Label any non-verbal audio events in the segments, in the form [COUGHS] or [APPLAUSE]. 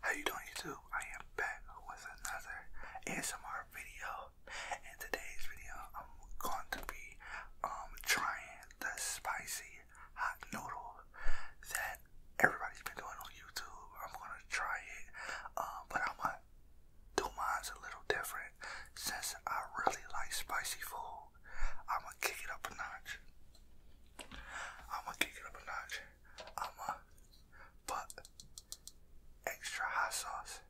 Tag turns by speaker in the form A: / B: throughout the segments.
A: How you doing YouTube? I am back with another ASMR video. In today's video, I'm going to be um trying the spicy hot noodle that everybody's been doing on YouTube. I'm gonna try it, um, but I'm gonna do mine's a little different since I really like spicy food. I'm gonna kick it up a notch. I'm gonna kick it up a notch. I'm gonna put extra hot sauce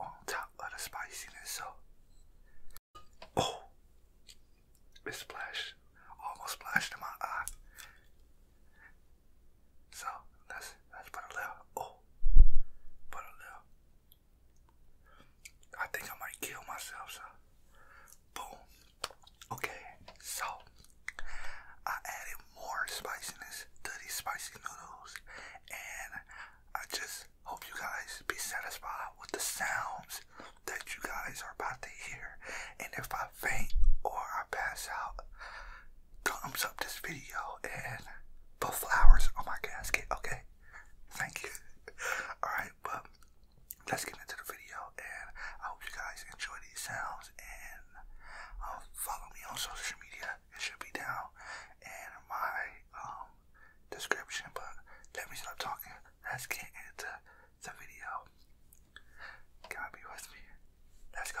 A: on top of the spiciness. So, oh, it splashed, almost splashed in my eye. So that's that's let a little oh put a little I think I might kill myself so boom okay so I added more spiciness to these spicy noodles and I just hope you guys be satisfied with the sounds that you guys are about to hear and if I faint or I pass out, thumbs up this video and put flowers on my casket, okay? Thank you. [LAUGHS] Alright, but let's get into the video and I hope you guys enjoy these sounds and um, follow me on social media. It should be down in my um, description, but let me stop talking. Let's get into the video. Come be with me. Let's go.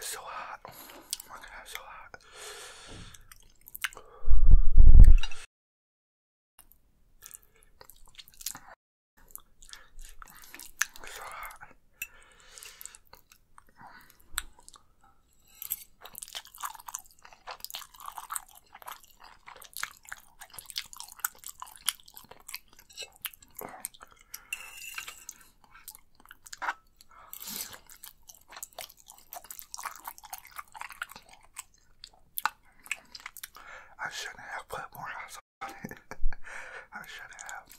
A: It's so hot. Oh my god, it's so hot. It's so hot. I shouldn't have put more ice on it. [LAUGHS] I shouldn't have.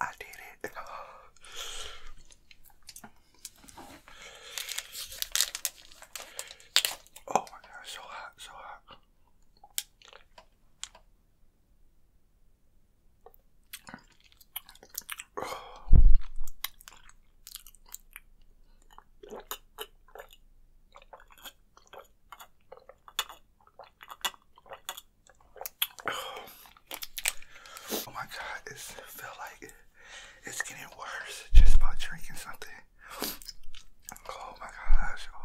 A: I did it. [SIGHS] Oh my god, so hot, so hot. [SIGHS] Oh my god, it feel like it's getting worse just by drinking something. [SIGHS] Oh my gosh. Oh.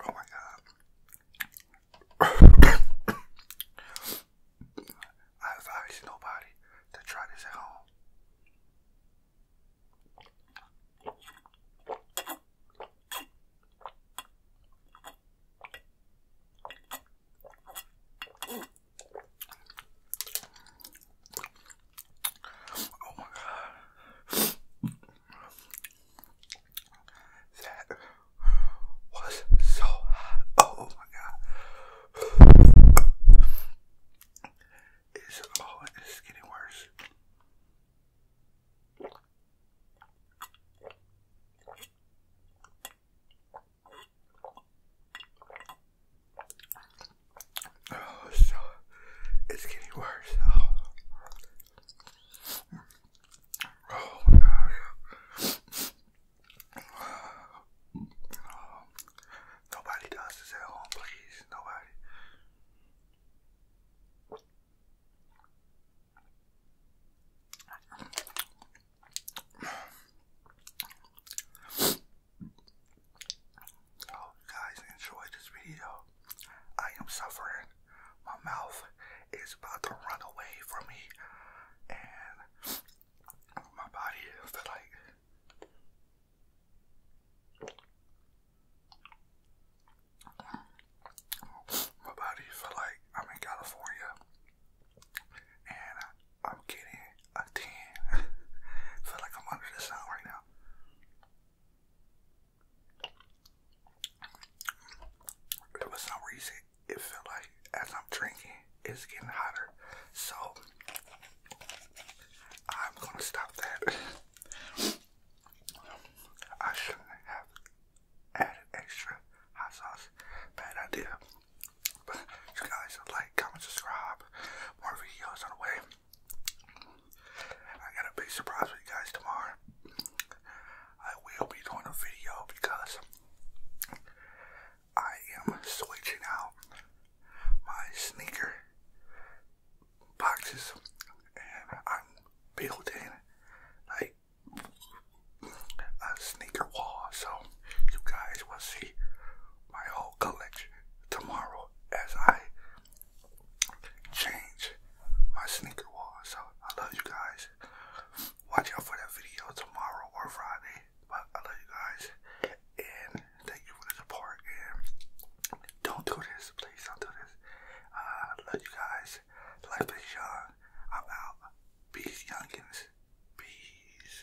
A: Oh my god. [COUGHS] I advise nobody to try this at home. Oh my That was so hot. Oh my god. It's, oh, it's getting worse. Oh, so it's getting worse. Oh. oh, my gosh. Nobody does this at home, please. Nobody. Hope oh, guys enjoyed this video. I am suffering. My mouth is about to run away from me, and my body is like. My body felt like I'm in California and I'm getting a 10. [LAUGHS] feel like I'm under the sun right now. For some reason, it felt like as I'm drinking, it's getting hotter. So, I'm gonna stop that. [LAUGHS] I shouldn't have added extra hot sauce, but I but you guys like, comment, subscribe. More videos on the way. I got a big surprise for you guys tomorrow. I will be doing a video because I am switching out my sneaker boxes and I'm building like a sneaker wall so you guys will see my whole collection tomorrow as I change my sneaker wall. So I love you guys. Watch out for that video tomorrow or Friday. But I love you guys. And thank you for the support. And don't do this. Please don't do this. Uh, I uh, love you guys. Life is young. I'm out. Peace, youngins. Peace.